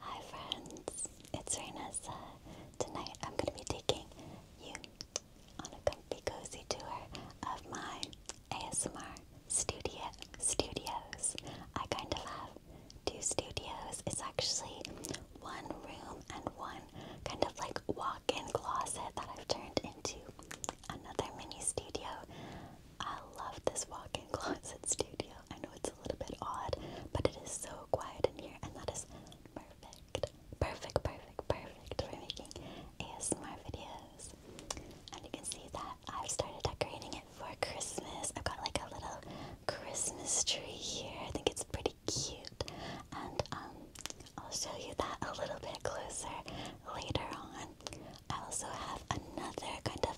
Hi friends, it's Renessa. Tonight I'm going to be taking you on a comfy cozy tour of my ASMR studio studios. I kind of have two studios. It's actually one room and one kind of like walk-in closet that I've turned into another mini studio. I love this walk-in closet studio. I know it's a little bit odd, but it is so quiet in here, and that is perfect, perfect, perfect, perfect for making ASMR videos. And you can see that I've started decorating it for Christmas. I've got like a little Christmas tree here. I think it's pretty cute, and um, I'll show you that a little bit closer later on. I also have another kind of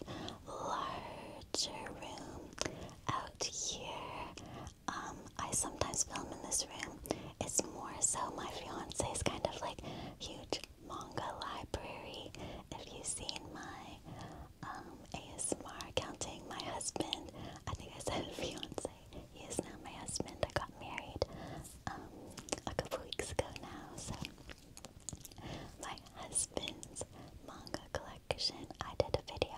larger room out here. Um, I sometimes film in this room. It's more so my fiance's kind of like huge manga library. If you've seen my um, ASMR counting my husband, I think I said fiance. He is now my husband. I got married um, a couple weeks ago now, so my husband's manga collection. I did a video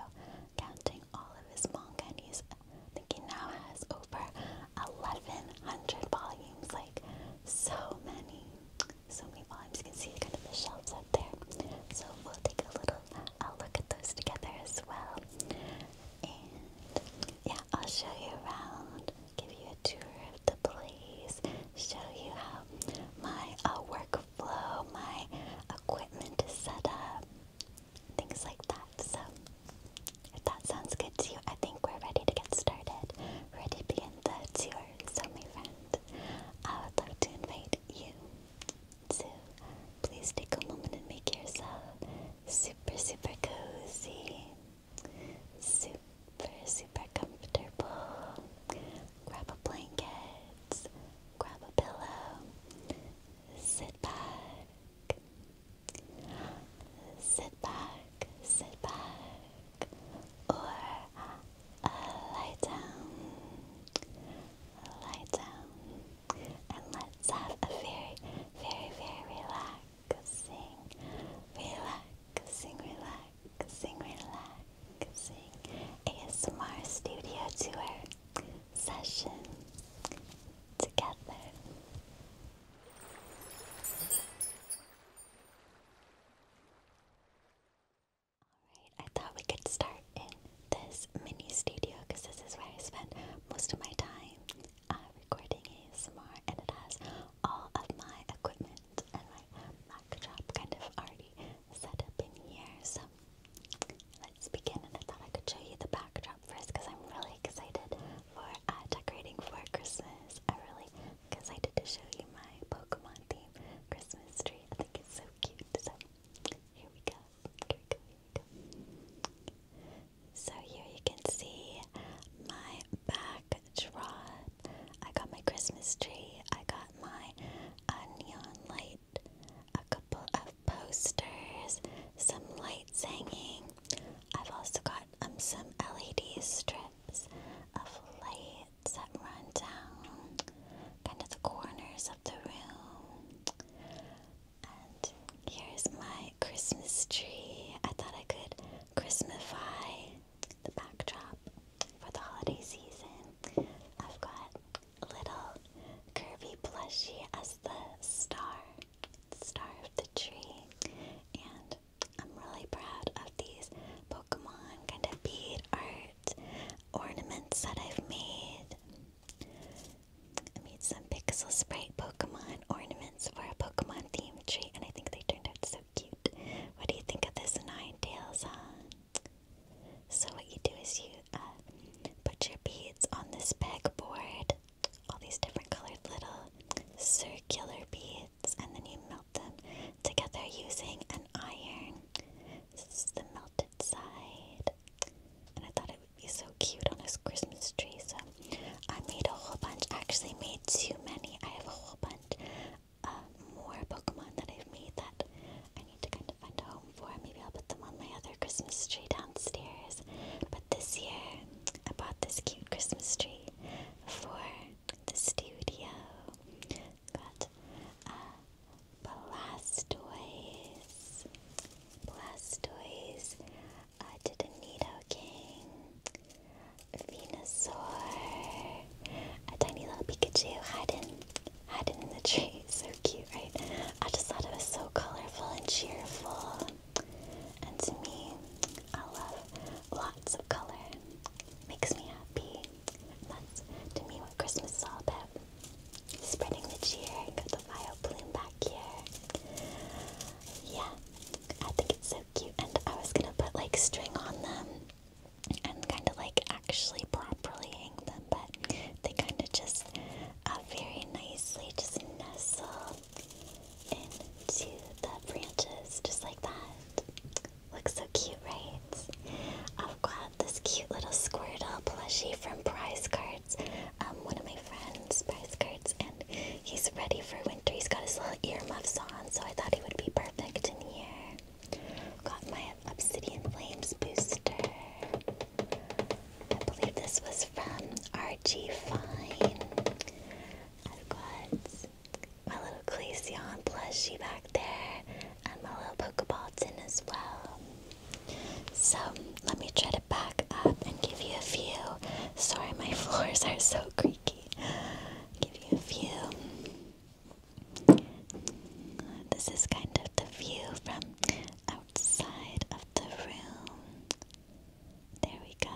counting all of his manga, and he's, thinking he now has over 1,100 volumes like so many, so many volumes. You can see kind of the shelves up there. So we'll take a little look at those together as well. And yeah, I'll show you around, give you a tour of the place, show you how my uh, work workflow, my equipment is set up, things like that. So, if that sounds good to you, I think we're ready to get started, ready to begin the tour. So, my friend, I would love to invite you to please take a moment and make yourself super, super cozy, super, super comfortable grab a blanket, grab a pillow, sit back, sit back, sit back, or uh, lie down, lie down, and let's have a very, very, very relaxing, relaxing, relaxing relaxing, relaxing ASMR studio tour session together. Alright, I thought we could start in this mini studio because this is where I spend most of my time uh, recording ASMR and it has all of my equipment and my Mac job kind of already set up in here. So let's begin. And I thought I could show you the backdrop first because I'm really excited for uh, decorating for Christmas. I'm really excited to show you my Pokemon theme Christmas tree. I think it's so cute. So here Here we go. So here you can see my backdrop. I got my Christmas tree. I got my neon light, a couple of posters, some lights hanging. I've also got um, some LED strips of lights that run down kind of the corners of the room. And here's my Christmas tree. I thought I could Christmasify the backdrop for the holiday season. I've got a little curvy plushie as the star, star of the tree, and I'm really proud of these Pokemon kind of bead art ornaments that I've made. I made some Pixel Sprite Pokemon ornaments for a Pokemon theme tree, and I think they turned out so cute. What do you think of this Nine Tails Huh? So what you do is you uh, put your beads on this pegboard, all these different colored little circular beads, and then you melt them together using an iron. This is the melted side, and I thought it would be so cute on this Christmas tree. So I made a whole bunch. Actually, made too many. I have a whole bunch. Um, more Pokemon that I've made that I need to kind of find a home for. Maybe I'll put them on my other Christmas tree downstairs. But this year, I bought this cute Christmas tree for the studio. Got uh, Blastoise. Blastoise. Uh, did a Nido Venusaur. A tiny little Pikachu hiding hiding in the tree. So cute, right? I just thought it was so colorful and cheerful. And to me, I love lots of color. Makes me happy. That's to me what Christmas is all about. Spreading the cheer. Got the vile bloom back here. Yeah, I think it's so cute. And I was gonna put like string on them and kind of like actually properly hang them, but they kind of just uh, very nicely just nestle into the branches just like that. Looks so cute, right? I've got this cute little squirrel plushie from Prize Cards, um, one of my friends, Prize Cards, and he's ready for winter. He's got his little earmuffs on, so I thought he would be perfect in here. Got my Obsidian Flames booster. I believe this was from RG Fine. I've got my little Glaceon plushie back there and my little tin as well. So let me try to back up and give you a few. Sorry, my floors are so creaky. Give you a few this is kind of the view from outside of the room. There we go.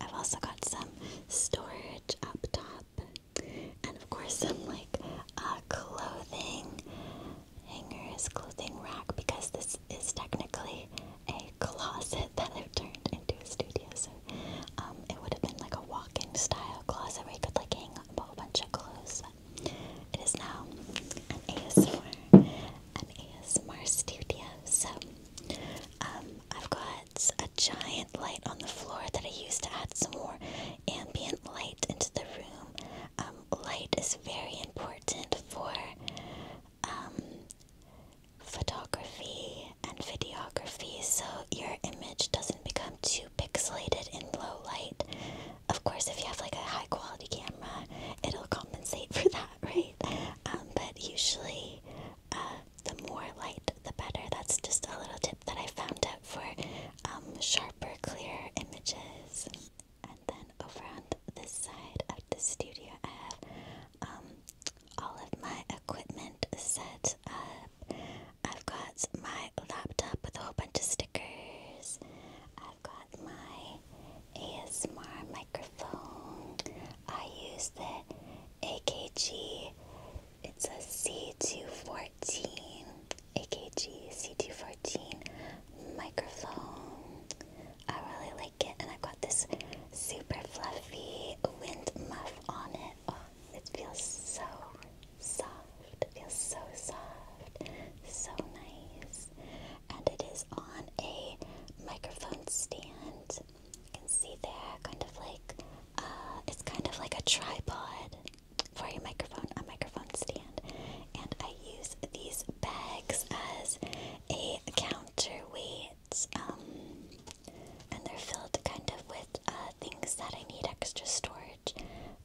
I've also got some storage up top, and of course, some like uh, clothing hangers, clothing rack, because this is technically a closet that I've turned into a studio. So um, it would have been like a walk in style closet where you could like hang a whole bunch of clothes it is now an ASMR, an ASMR studio. So, um, I've got a giant light on the floor that I use to add some more ambient light into the room. Um, light is very important for um, photography and videography, so your image doesn't become too pixelated in low light. Of course, if you have like a high quality camera, it'll compensate for that, right? Um, but usually, uh, the more light, the better. That's just a little tip that I found out for um, sharper, clearer images. And then over on this side of the studio, I have um, all of my equipment set uh, I've got my laptop with a whole bunch of stickers. I've got my ASMR microphone. I use the AKG. It's a C214. AKG C214 microphone. I really like it, and I've got this super fluffy wind muff on it. Oh, it feels so soft. It feels so soft, so nice. And it is on a microphone stand. You can see there, kind of like uh, it's kind of like a tripod for your microphone, a microphone stand. And I use these bags as a counterweight. Um, and they're filled kind of with uh, things that I need extra storage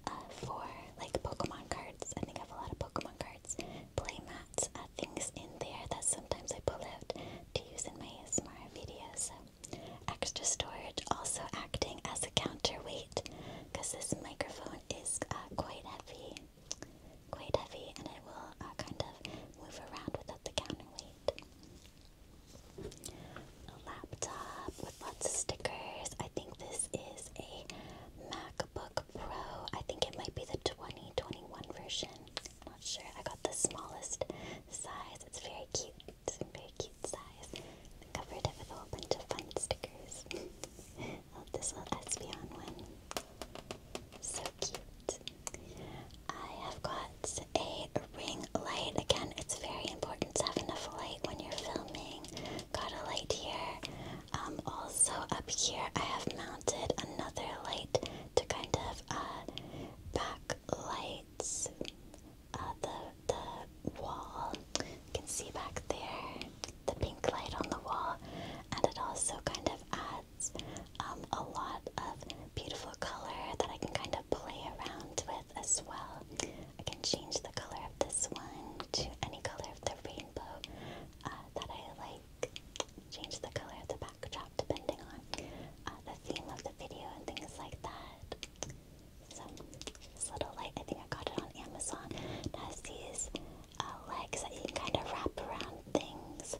uh, for like Pokemon cards. I think I have a lot of Pokemon cards, playmats, uh, things in there that sometimes I pull out to use in my ASMR videos. So, extra storage also acting as a counterweight because this microphone is uh, quite heavy, quite heavy, and it will uh, kind of move around without the counterweight a laptop with lots of stickers. I think this is a MacBook Pro. I think it might be the 2021 version. I'm not sure. I got the smallest size. It's very cute. It's a very cute size. I covered it with a whole bunch of fun stickers. oh, this little Espeon one. So cute. I have got a ring light. Again, it's very important importance having light when you're filming. Got a light here. Um, also up here, I have mounted another light to kind of uh, backlight uh, the the wall. You can see back there the pink light on the wall, and it also kind of adds um, a lot of beautiful color that I can kind of play around with as well. I can change the color of this one to any color of the rainbow uh, that I like. Change the color of the backdrop depending on uh, the theme of the video and things like that. So this little light, I think I got it on Amazon. has these uh, legs that you can kind of wrap around things.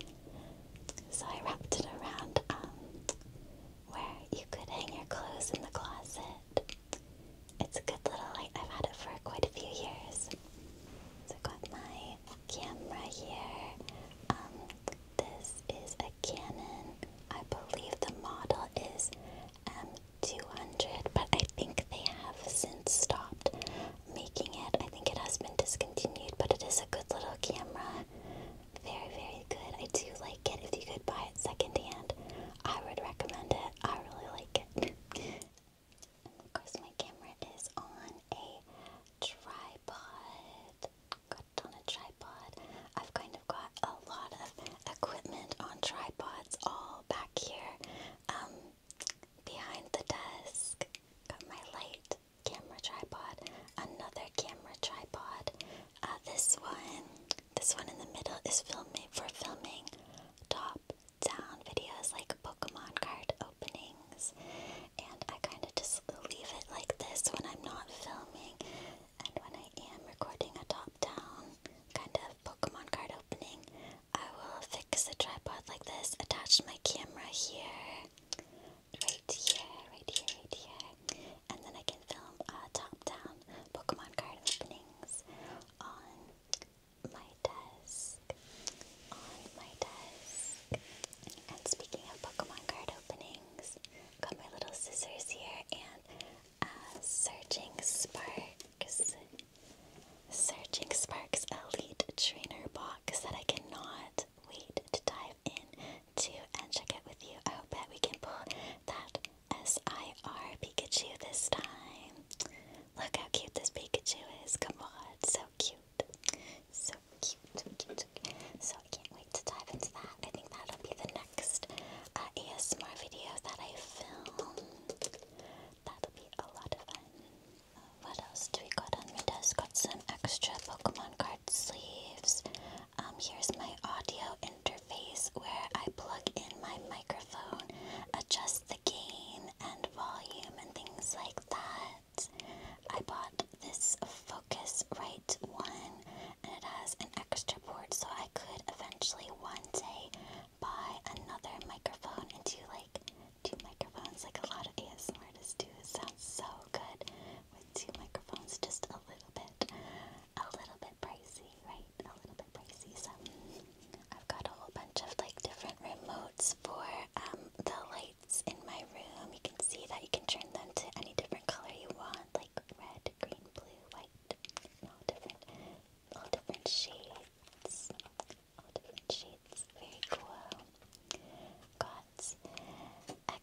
So I wrapped it around um, where you could hang your clothes in the closet. It's a good little light. I've had it for quite a few years. I've got my camera here. Um, this is a Canon. I believe the model is M200, um, but I think they have since stopped making it. I think it has been discontinued, but it is a good little camera. Very, very good. I do like it. If you buy it secondhand. I would recommend it. I really like it. of course, my camera is on a tripod. Got on a tripod. I've kind of got a lot of equipment on tripods all back here um, behind the desk. Got my light camera tripod, another camera tripod. Uh, this one this one in the middle is filming for filming top down videos like Pokemon card openings. And I kind of just leave it like this when I'm not filming. And when I am recording a top down kind of Pokemon card opening, I will fix the tripod like this, attach my camera here, right here, right here, right here, and then I can film uh, top down Pokemon card openings on my desk, on my desk. And speaking of Pokemon card openings, got my little scissors here and Searching Sparks, Searching Sparks Elite Trainer Box that I cannot wait to dive in to and check out with you. I hope that we can pull that S-I-R Pikachu this time. Look how cute this Pikachu is. Come on, so cute. So cute, so cute, so cute. So I can't wait to dive into that. I think that'll be the next uh, ASMR video that I film. That'll be a lot of fun. Uh, what else do we got on my desk? Got some extra Pokemon card sleeves. Um, here's my audio interview interface where I plug in my microphone, adjust the gain and volume, and things like that. I bought this Focusrite one, and it has an extra port, so I could eventually one day buy another microphone and do like two microphones, like a lot of ASMR artists do. It sounds so good with two microphones, just a little bit, a little pricey, right? A little bit pricey. So I've got a whole bunch of like different remotes for um, the lights in my room. You can see that you can turn them to any different color you want, like red, green, blue, white, all different, all different shades, all different shades. Very cool. Got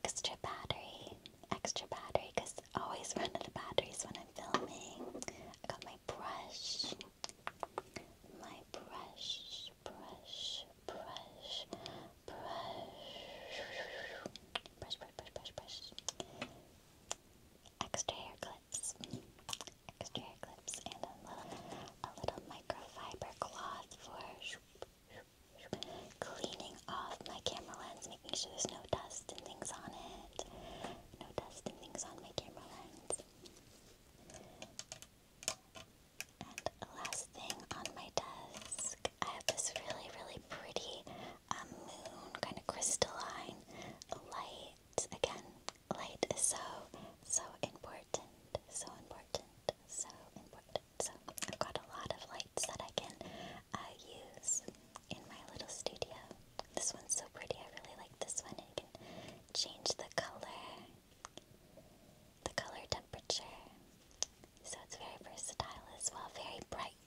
extra battery, extra battery, cause I always run out of batteries when I'm filming. I got my my brush, my brush, brush, brush, brush, brush, brush, brush, brush. Extra hair clips, extra hair clips, and a little, a little microfiber cloth for cleaning off my camera lens, making sure there's no dust and things on it no dust and things on my camera lens. And last thing on my desk, I have this really, really pretty um, moon, kind of crystalline light. Again, light is so, so important, so important, so important. So I've got a lot of lights that I can uh, use in my little studio. This one's so pretty. I really like this one. You can change the color, the color temperature. So it's very versatile as well. Very bright.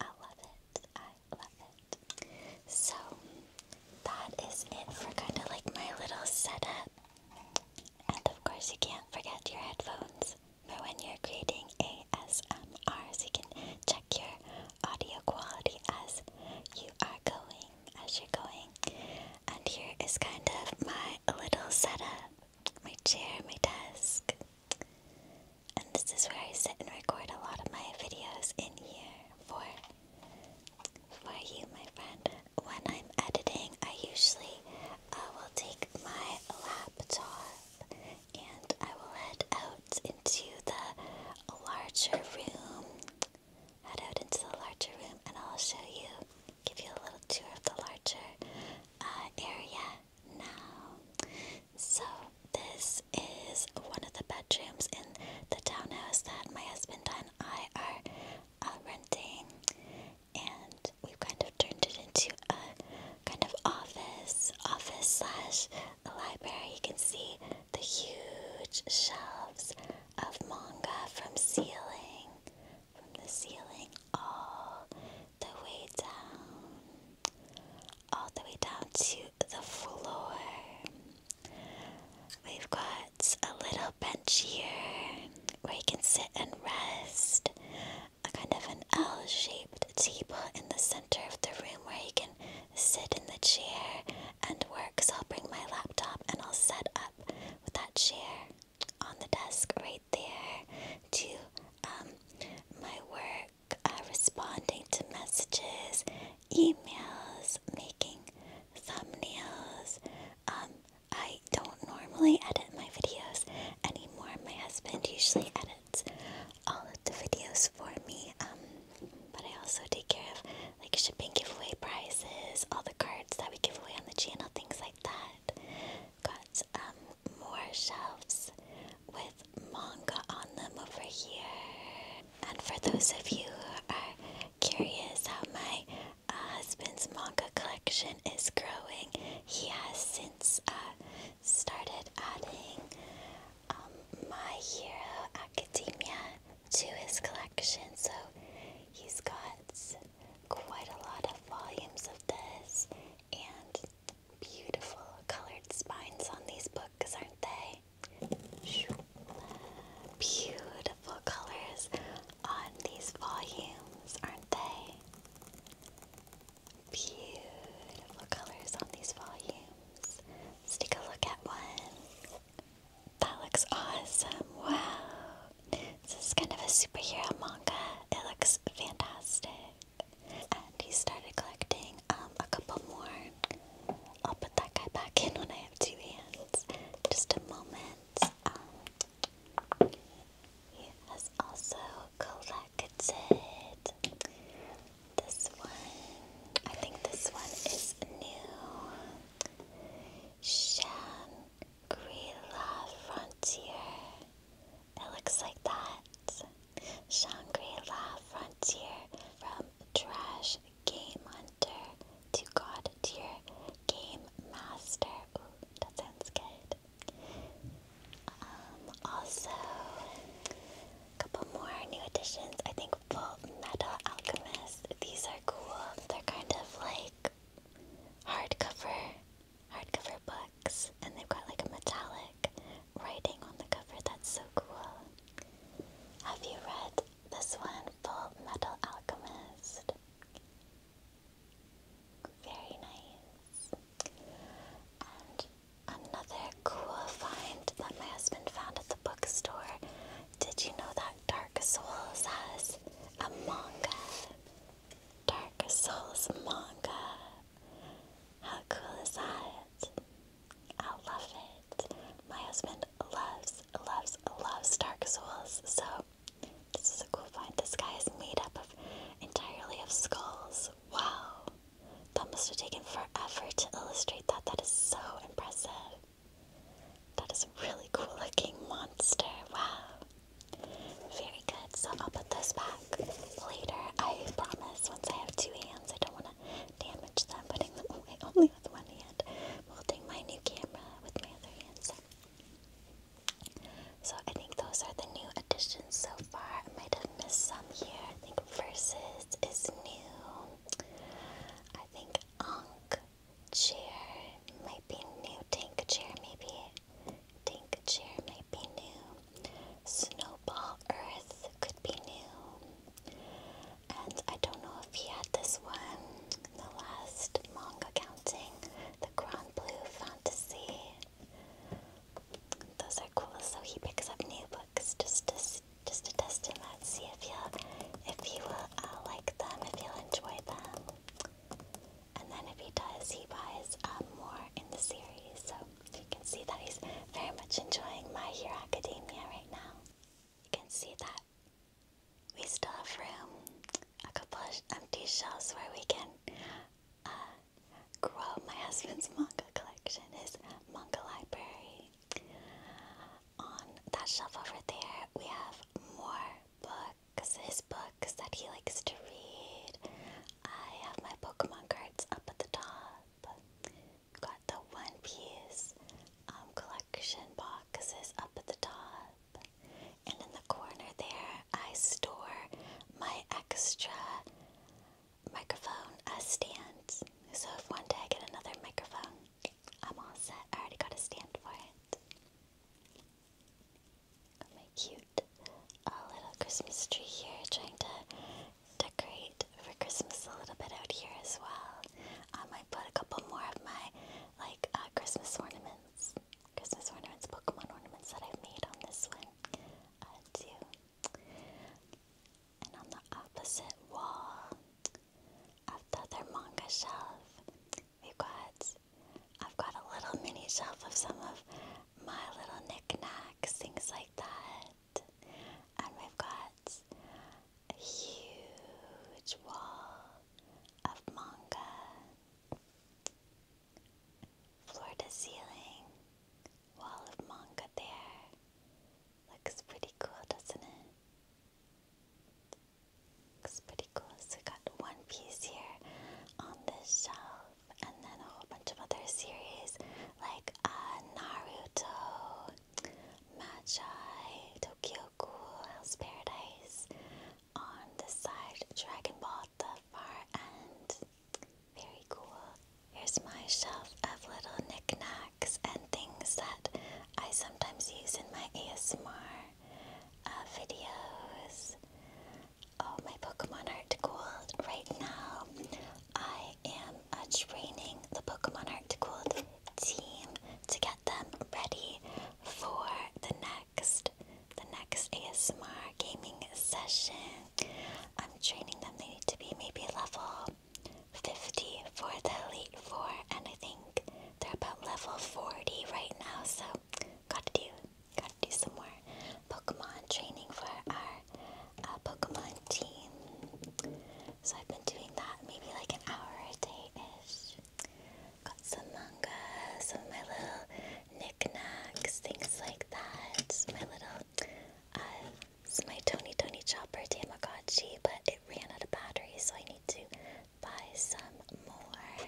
I love it. I love it. So that is it for kind of like my little setup. And of course, you can't forget your headphones But when you're creating ASMR so you can check your audio quality as you are going, as you're going. And here is kind of my little setup my chair, my desk. And this is where I sit and record a lot of my videos in here for for you, my friend. When I'm editing, I usually uh, will take my laptop and I will head out into the larger room. Head out into the larger room, and I'll show you, give you a little tour of the larger uh, area now. So, this is one of the bedrooms in the townhouse that my husband and I are uh, renting, and we've kind of turned it into a kind of office, office slash library. You can see the huge shelves of manga from ceiling, from the ceiling all the way down, all the way down to the floor. We've got a little bench here where you can sit and rest, a kind of an L shaped table in the center of the room where you can sit in the chair and work. So I'll bring my laptop and I'll set up with that chair on the desk right there to um, my work, uh, responding to messages, emails, making thumbnails. Um, I don't normally edit my videos anymore. My husband usually edits all of the videos for me. Um, but I also take care of like shipping giveaway prizes, all the cards that we give away on the channel, things like that. Got um, more shelves with manga on them over here. And for those of you who are curious how my uh, husband's manga collection is growing, he has since uh, started adding um, My Hero Academia to his collection, so he's got quite a lot of volumes of this and beautiful colored spines on these books, aren't they? Beautiful colors on these volumes, aren't they? Beautiful colors on these volumes. Let's, take a look at one. That looks awesome. Wow. This is kind of a superhero manga. It looks fantastic. And he started collecting um, a couple more. I'll put that guy back in when I have two hands. Just a moment. Um, he has also collected this one, I think this one is new. Shangri-La Frontier. It looks like that. Shangri-La Frontier from Trash Game Hunter to God Tier Game Master. Ooh, that sounds good. Um, also, a couple more new additions. I think helpful metal alchemist. These are cool. They're kind of like hardcover, hardcover books, and they've got like a metallic writing on the cover. That's so cool. Have you read this one, Full Metal Alchemist? Very nice. And Another cool find that my husband found at the bookstore. Did you know that Dark Souls has a manga? Dark Souls manga. How cool is that? I love it. My husband loves, loves, loves Dark Souls, so this is a cool find. This guy is made up of entirely of skulls. Wow. That must have taken forever to illustrate that. That is so impressive. That is a really cool looking monster. Wow. Very good. So I'll put those back later. I promise once I have two hands, I don't want to damage them putting them away only with one hand. holding my new camera with my other hands. So. so I think those are the new additions so far. I might have missed some here. I think Versus is new. I think Ankh chair might be new. Tank chair maybe. Tank chair might be new. Snowball Earth could be new. And I don't know if he had this one the last manga counting. The Grand Blue Fantasy. Those are cool, so he picks up new books just to just to test them out, see if you if you uh, like them, if you'll enjoy them. And then if he does, he buys um, more in the series. So you can see that he's very much enjoying My Hero Academia right now. You can see that we still have room, a couple of empty shelves where we can uh, grow my husband's manga collection, his manga library. On that shelf over there, we have more books, his books that he likes to read. I have my Pokemon cards up at the top. Got the One Piece um, collection boxes up at the top. And in the corner there, I store my extra microphone a stand. So if one day I get another microphone, I'm all set. I already got a stand for it. Got my cute uh, little Christmas tree here, trying to decorate for Christmas a little bit out here as well. Um, I might put a couple more of my like uh, Christmas ornaments, Christmas ornaments, Pokemon ornaments that I've made on this one uh, too. And on the opposite wall of the other manga shelf, we've got I've got a little mini shelf of some of my little knickknacks, things like that. And we've got a huge wall of manga, floor to ceiling, wall of manga there, Looks pretty cool, doesn't it? Looks pretty cool. So we got one piece here on this shelf, and then a whole bunch of other series like uh, Naruto, Magi, Tokyo Ghoul, Paradise. On the side, Dragon Ball the far end. Very cool. Here's my shelf of little knickknacks and things that I sometimes use in my ASMR uh, videos. All oh, my Pokemon Art Gold. Right now, I am uh, training the Pokemon Art Gold team to get them ready for the next the next ASMR gaming session. I'm training them. They need to be maybe level 50 for the Elite Four, and I think they're about level 40 right now, so gotta do, gotta do some more Pokemon training for our uh, Pokemon team. So I've been doing that maybe like an hour a day-ish. Got some manga, some of my little knickknacks, things like that. My little uh, it's my Tony Tony Chopper Tamagotchi, but it ran out of battery, so I need to buy some more.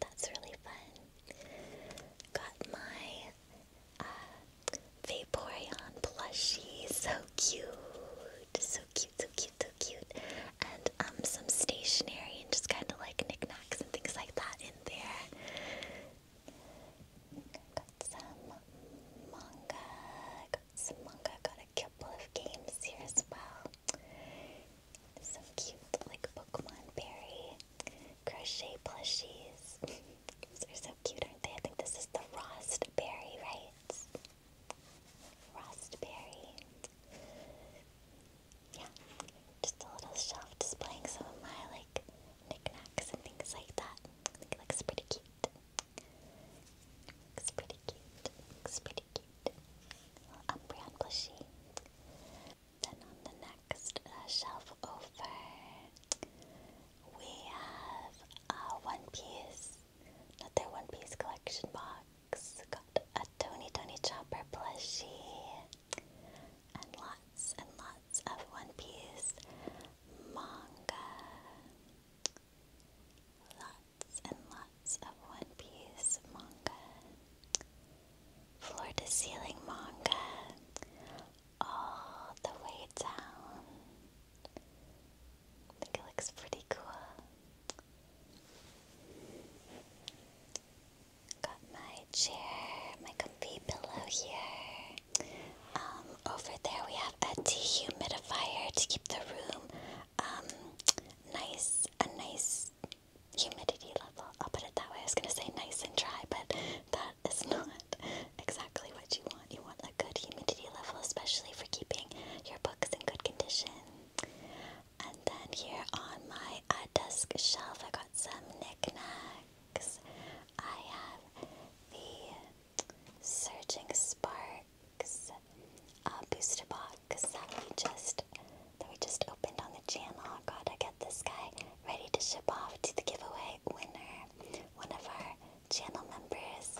That's really fun. Got my uh, Vaporeon plushie. So cute. So cute, so cute, so cute. And um, some stationery and just kind of like knickknacks and things like that in there. Got some manga. Samanga got a couple of games here as well. Some cute like Pokemon Berry crochet plushies. These are so cute, aren't they? I think this is the Rostberry, right? Rostberry. Yeah, just a little shelf displaying some of my like knickknacks and things like that. looks pretty cute. It's pretty cute. It's pretty cute. Little plushie. Then on the next uh, shelf over, we have a One Piece, another One Piece collection box. Got a Tony Tony Chopper plushie, and lots and lots of One Piece manga. Lots and lots of One Piece manga, floor to ceiling manga, all the way down. I think it looks pretty cool. Got my chair, my comfy pillow here. Um, over there we have a dehumidifier to keep the room um, nice, a nice humidity level. I'll put it that way. I was going to say nice and dry, but that is not exactly what you want. You want a good humidity level, especially for keeping your books in good condition. And then here on my desk shelf, I got some knickknacks. I have the Surging Sparks, booster box that we just that we just opened on the channel. Oh, Gotta get this guy ready to ship off to the giveaway winner. One of our channel members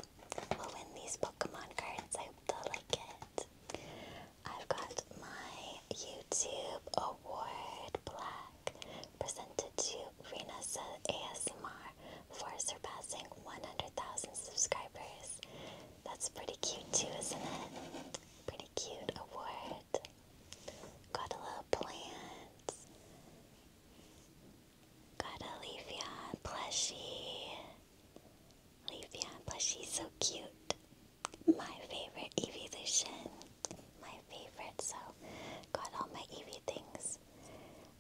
will win these Pokemon cards. I hope they like it. I've got my YouTube award plaque presented to Rena ASMR for surpassing 100,000 subscribers. That's pretty cute too, isn't it? Pretty cute award. Got a little plant. Got a Leafeon plushie. Leafeon plushie, so cute. My favorite Evolution. My favorite, so got all my Eevee things.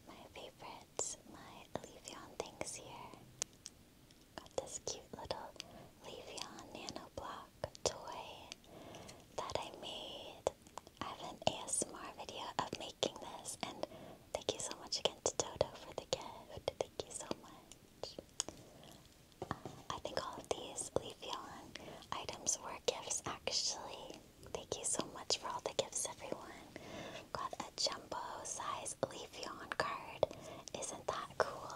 My favorite my Leafeon things here. Got this cute little Leafeon Nano Block toy that I made. I have an ASMR video of making this, and thank you so much again to Dodo for the gift. Thank you so much. Uh, I think all of these Leafeon items were gifts, actually. Thank you so much for all the gifts, everyone. Got a jumbo size Leafeon card. Isn't that cool?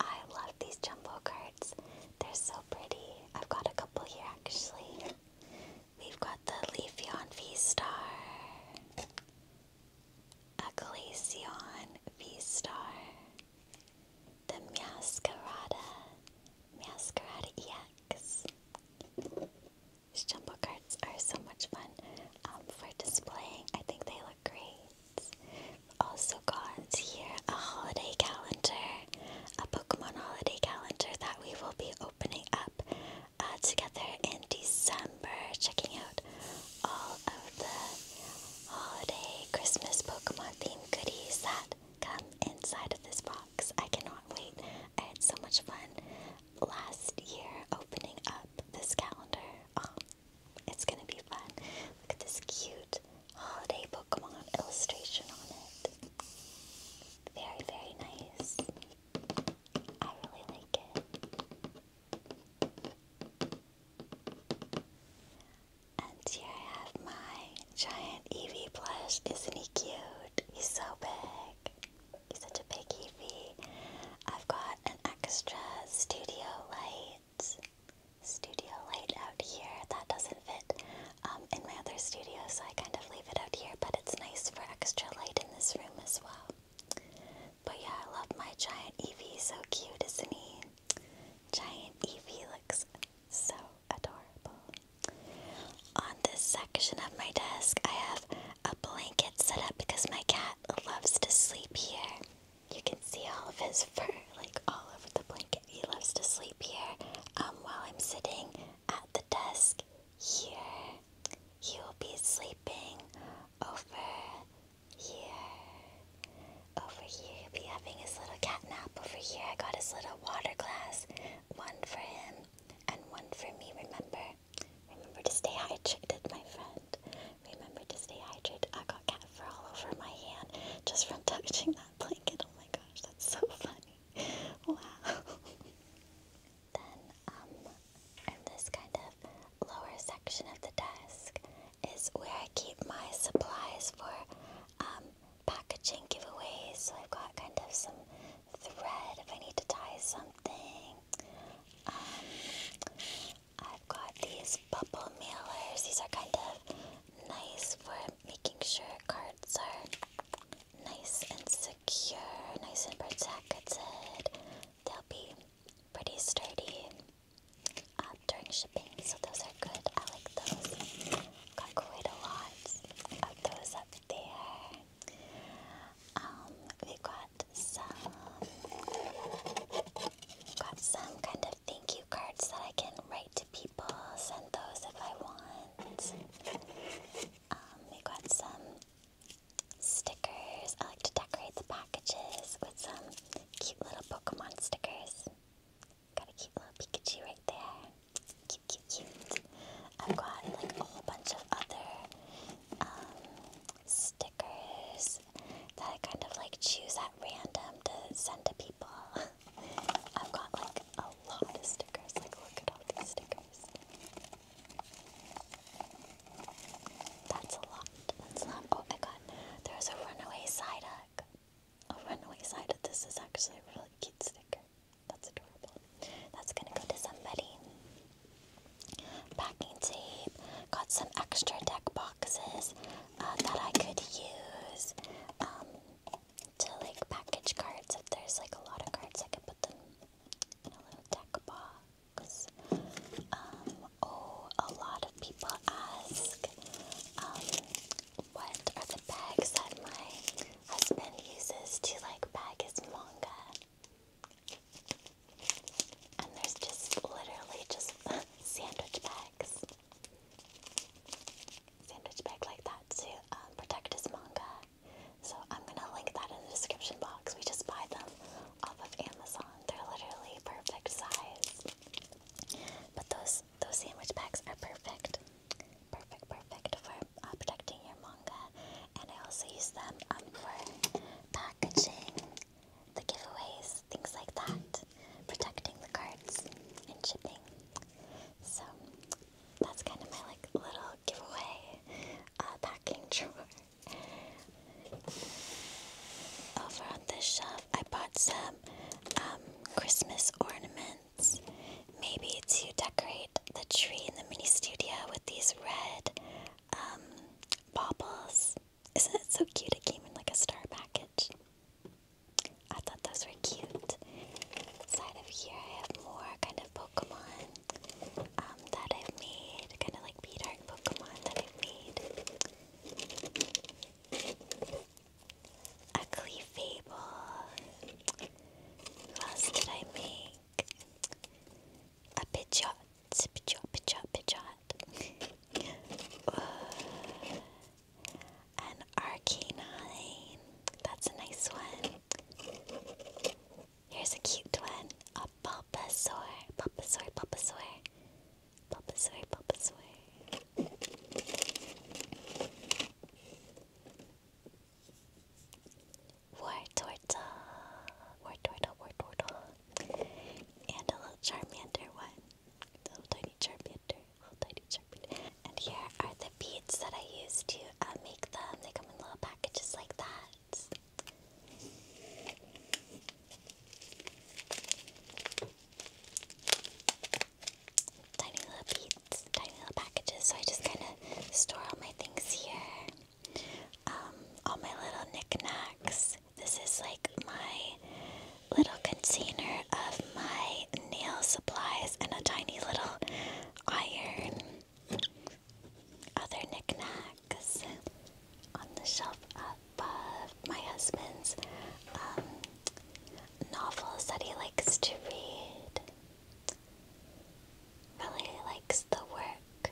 I love these jumbo cards. They're so pretty. I've got a couple here actually. We've got the Leafeon V-Star, a V-Star, the Meowscarada, Meowscarada X. These jumbo cards are so much fun um, for displaying. I think they look great. Also got here a holiday calendar, a Pokemon holiday calendar that we will be opening up uh, together in December, checking out all of the holiday Christmas Pokemon themed goodies that come inside of this box. I cannot wait. I had so much fun last year opening up this calendar. Oh, it's gonna be fun. Look at this cute holiday Pokemon illustration on it. Very, very nice. I really like it. And here I have my giant EV plush. Isn't he cute? He's so big. He's such a big Eevee. I've got an extra studio light. Studio light out here that doesn't fit um, in my other studio, so I kind of leave it out here. But it's nice for extra light in this room as well. But yeah, I love my giant Eevee. So cute, isn't he? Giant Eevee looks so adorable. On this section of my desk, I have a blanket set up because my cat loves to sleep here. You can see all of his fur, like all over the blanket. He loves to sleep here. Um, while I'm sitting at the desk here, he will be sleeping over here. Over here, he'll be having his little cat nap. Over here, I got his little water glass. One for him and one for me, remember? Remember to stay hydrated, my friend. Remember to stay hydrated. I got cat fur all over my hand just from touching that blanket. Oh my gosh, that's so funny. Wow. then, um, in this kind of lower section of the desk is where I keep my supplies for um, packaging giveaways. So I've got kind of some thread if I need to tie something. Um, I've got these bubble mailers. These are kind of nice for making sure cards are nice and secure, nice and protected. They'll be pretty sturdy uh, during shipping, so those are good. I like those. Got quite a lot of those up there. Um, we got some got some kind of thank you cards that I can write to people, send those if I want. Um, we got some stickers. I like to decorate the packages with some cute little Pokemon stickers. Got a cute little Pikachu right there. cute, cute. I've got like a whole bunch of other um, stickers that I kind of like choose at random to send to people. I've got like a lot of stickers. Like, look at all these stickers. That's a lot. That's a lot. Oh my god, there's a runaway side A runaway side This is actually a really cute sticker. That's adorable. That's gonna go to somebody. Packing tape. Got some extra deck boxes uh, that I could use um, to like package cards. If there's like a lot of cards, I can put them in a little deck box. Um, oh, a lot of people ask um, what are the bags that my husband uses to like bag his manga. And there's just literally just sandwich bags. Sandwich bag like that to um, protect his manga. So I'm gonna link that in the description box. We just buy them off of Amazon. They're literally perfect size. But those those sandwich bags are perfect. Perfect, perfect for uh, protecting your manga, and I also use them um, for packaging, the giveaways, things like that, protecting the cards and shipping. So that's kind of my like little giveaway uh, packing drawer. Over on this shelf, I bought some um, Christmas ornaments. Maybe to decorate the tree in the mini studio with these red um, baubles. Isn't it so cute? It came in like a star package. I thought those were cute. Side of here, I have more kind of Pokemon um, that I've made, kind of like bead Pokemon that i made. Ugly Fable. What else I make? A pidgeot. Pidgeot, pidgeot, pidgeot. uh, an arcanine. That's a nice one. Here's a cute one. A Bulbasaur. Bulbasaur, Bulbasaur. Bulbasaur, Bulbasaur. War Torta, War Torta, War Torta, and a little Charmander one, a little tiny Charmander, little tiny Charmander. And here are the beads that I use to uh, make them. They come in little packages like that. Tiny little beads, tiny little packages. So I just kind of store all my things here. Um, all my little knickknacks. This is like my little container of my nail supplies and a tiny little iron. Other knickknacks on the shelf above my husband's um, novels that he likes to read really likes the work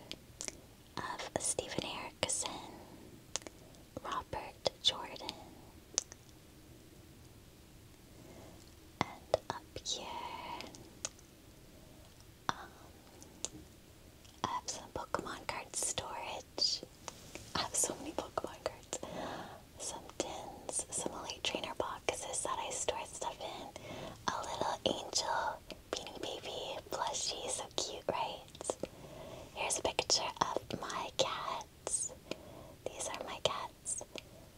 of Stephen Erickson, Robert Jordan. And up um, I have some Pokemon card storage. I have so many Pokemon cards. Some tins, some Elite Trainer boxes that I store stuff in, a little angel Beanie Baby plushie, so cute, right? Here's a picture of my cats. These are my cats.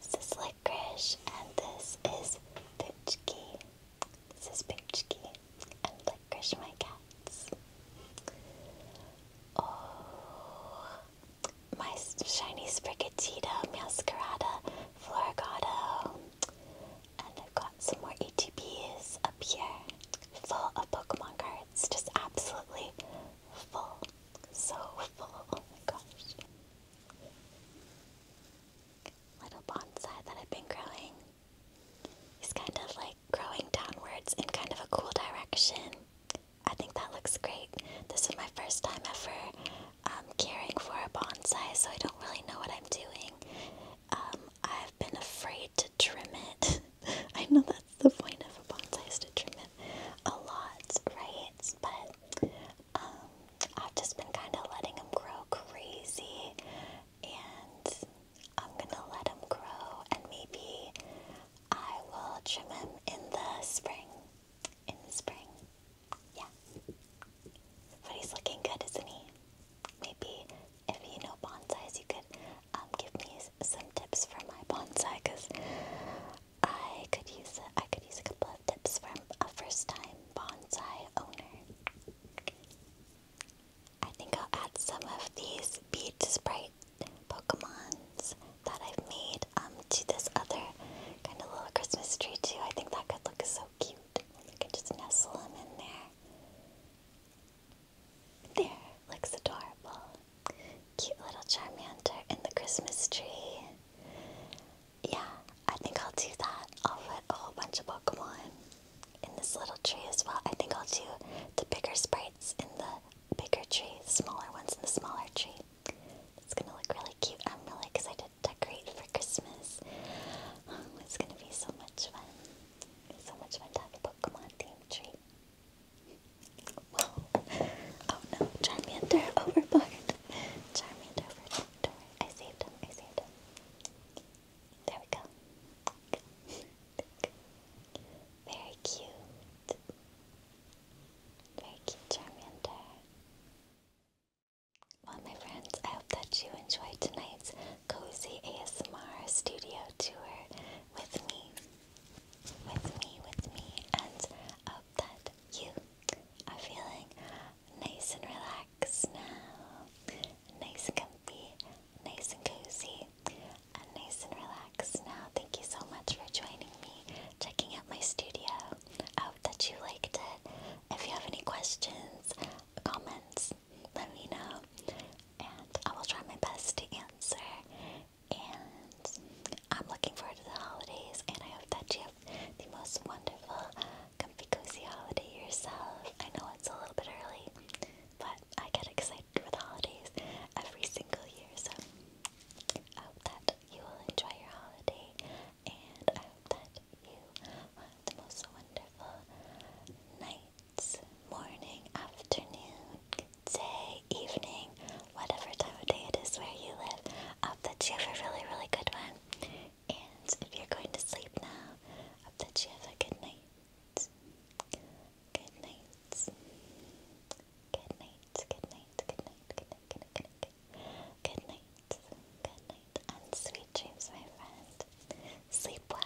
This is Licorice, and this is Pinchki. This is Pinchki, and Licorice, my cats. Oh, my shiny Sprigatito, Masquerada, Florgado. And I've got some more ATPs up here, full of Pokemon cards, just absolutely full. So full, oh my gosh. Little bonsai that I've been growing. He's kind of like growing downwards in kind of a cool direction. I think that looks great. This is my first time ever I'm um, caring for a bonsai, so I don't really know what I'm doing. Um, I've been afraid to trim it. I know that's the point of a bonsai to trim it a lot, right? But um, I've just been kind of letting him grow crazy, and I'm gonna let him grow, and maybe I will trim him in the spring. In the spring. Yeah. But he's looking good, isn't he? Maybe if you know bonsais, you could um, give me some tips for my bonsai, cause I could use a, I could use a couple of tips from a first-time bonsai owner. I think I'll add some of these bead sprite Pokemons that I've made um, to this other kind of little Christmas tree too. I think that could look so cute cute. We just nestle him in there. There, looks adorable. Cute little Charmander in the Christmas tree. Yeah, I think I'll do that. I'll put a whole bunch of Pokemon in this little tree as well. I think I'll do the bigger sprites in the bigger tree, the smaller ones in the smaller tree. It's gonna look really cute. I'm really excited decorate for Christmas. Oh, it's gonna be so much fun. so much fun to Pokemon themed tree. Whoa. Oh no, Charmander overboard. Charmander overboard. I saved him, I saved him. There we go. Very cute. Very cute Charmander. Well, my friends, I hope that you enjoyed tonight's cozy ASMR studio tour with me, with me, with me, and I hope that you are feeling nice and relaxed now, nice and comfy, nice and cozy, and nice and relaxed now. Thank you so much for joining me, checking out my studio that you liked it. If you have any questions, comments, let me know. And I will try my best to answer. And I'm looking forward to the holidays. And I hope that you have the most wonderful, comfy, cozy holiday yourself. I know it's a little bit early, but I get excited for the holidays every single year. So I hope that you will enjoy your holiday. And I hope that you one the most wonderful nights, morning, afternoon, day, evening, whatever time of day it is where you live. I hope that you have a really, really good one. And if you're going to sleep now, I hope that you have a good night. Good night. Good night. Good night. Good night. Good night. Good night. Good night. Good night. Good night. And sweet dreams, my friend. Sleep well.